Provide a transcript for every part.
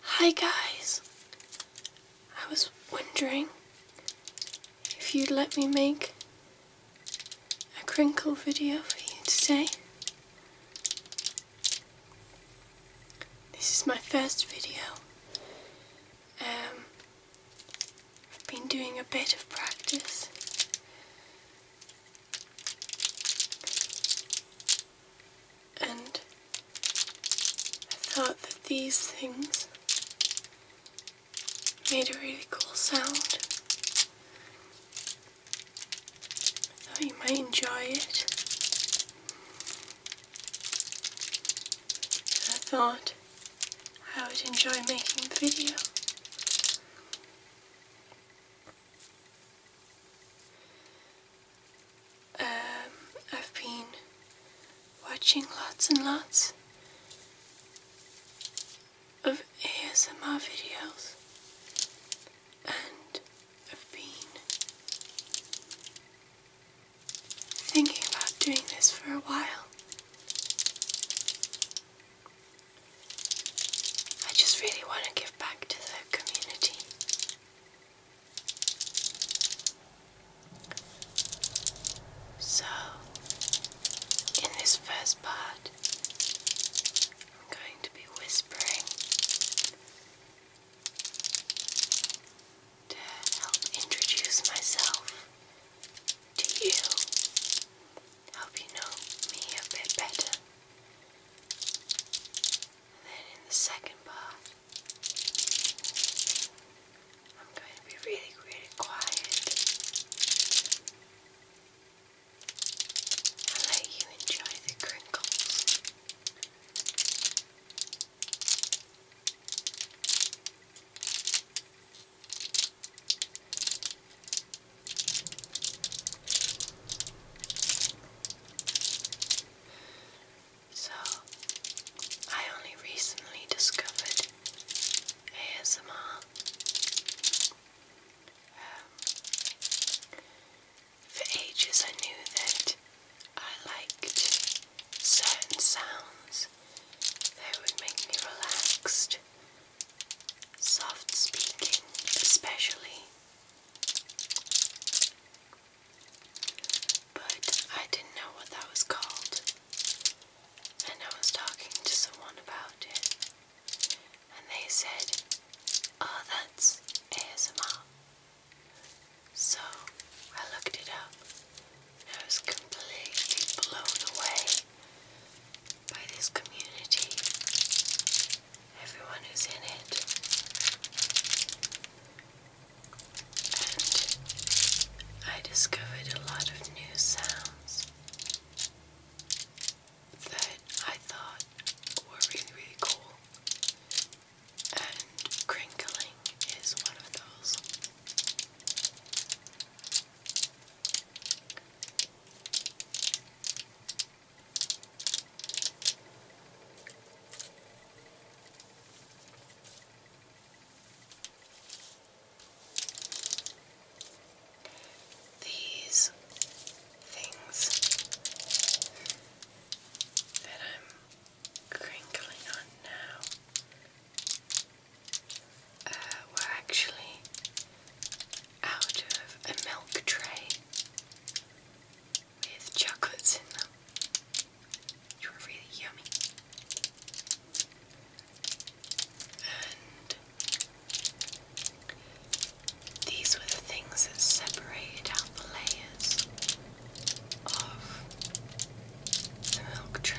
Hi guys! I was wondering if you'd let me make a crinkle video for you today. This is my first video. Um, I've been doing a bit of practice and I thought that these things made a really cool sound. I thought you might enjoy it. I thought I would enjoy making the video. Um, I've been watching lots and lots of ASMR videos and I've been thinking about doing this for a while. I just really want to give back to the community. So, in this first part, I'm going to be whispering to help introduce myself to you, help you know me a bit better. And then in the second bar, I'm going to be really, really quiet and let you enjoy the crinkles. So, I only recently discovered ASMR. Um, for ages, I knew that I liked certain sounds that would make me relaxed. Soft speaking, especially, but I didn't know what that was called. And I was talking to someone about it. And they said, oh, that's ASMR. So I looked it up. And I was completely blown away by this community, everyone who's in it, and I discovered a lot of new sounds that I thought were really, really cool, and crinkling is one of those. These things that I'm crinkling on now uh, were actually out of a milk tray with chocolates in them, which were really yummy. And these were the things that separated out the layers of the milk tray.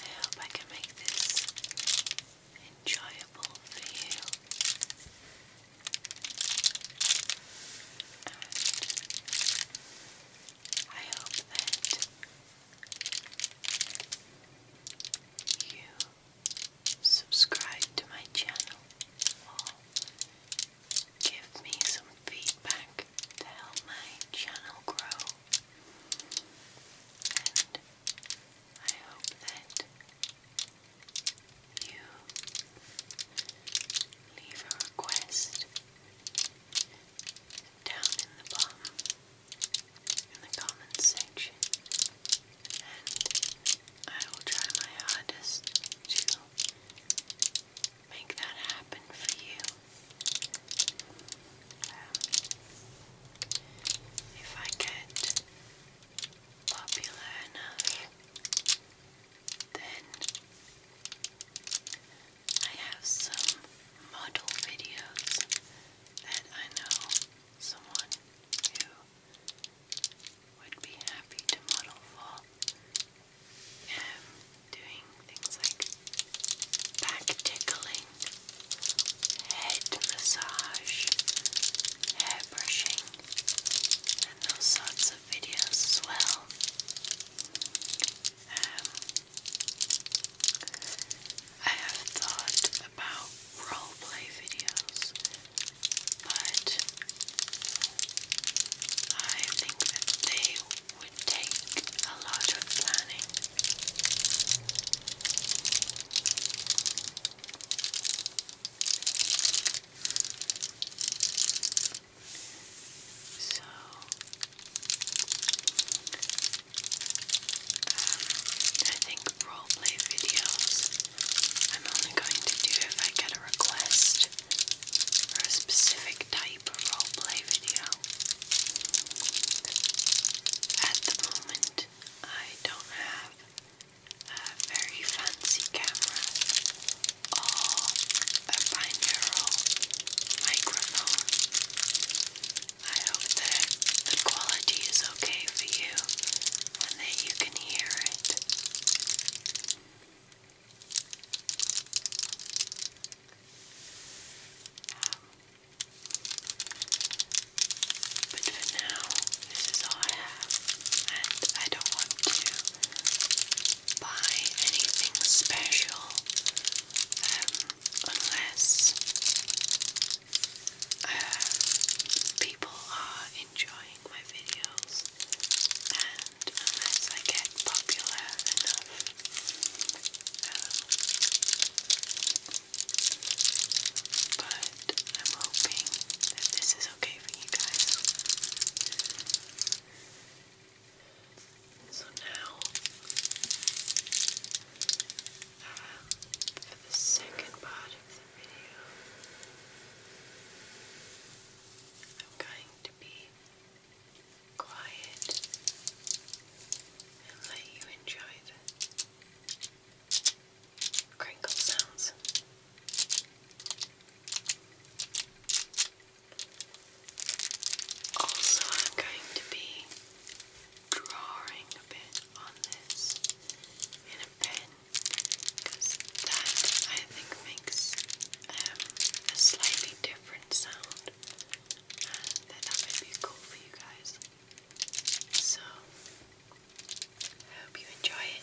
I hope I can make this enjoyable for you. I hope that you subscribe to my channel give me some feedback to help my channel grow. And I hope that you leave a request down in the bottom in the comments section, and I will try my hardest to make that happen for you. Um, if I get popular enough, then I have some model videos that I know someone who would be happy to model for. Um, doing things like back tickling, head massage, hair brushing, and those sorts of videos as well. Um, I have thought about roleplay videos, but I think they would take a lot of planning. So, I think roleplay videos I'm only going to do if I get a request for a specific type of roleplay video. At the moment, I don't have a very fancy camera or a binaural microphone. I hope that the quality is okay for you and that you can hear it. Um, but for now, this is all I have, and I don't want to buy anything special. Um, unless uh, people are enjoying my videos and unless I get popular enough. Um, but I'm hoping that this is okay for you guys. So now, um, for the second part of the video, I'm going to be quiet and let you enjoy the crinkle sounds. Also, I'm going to be drawing a bit on this in a pen because that I think makes um, slightly different sound and that might be cool for you guys. So, hope you enjoy it.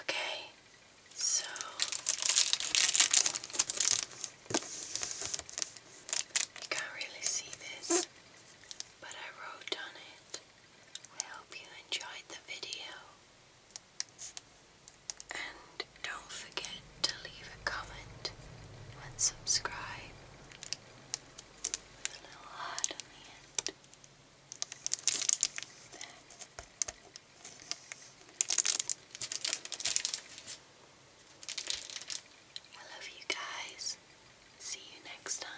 Okay, so you can't really see this, but I wrote on it. I hope you enjoyed the video. And don't forget to leave a comment and subscribe with a little heart on the end. I love you guys. See you next time.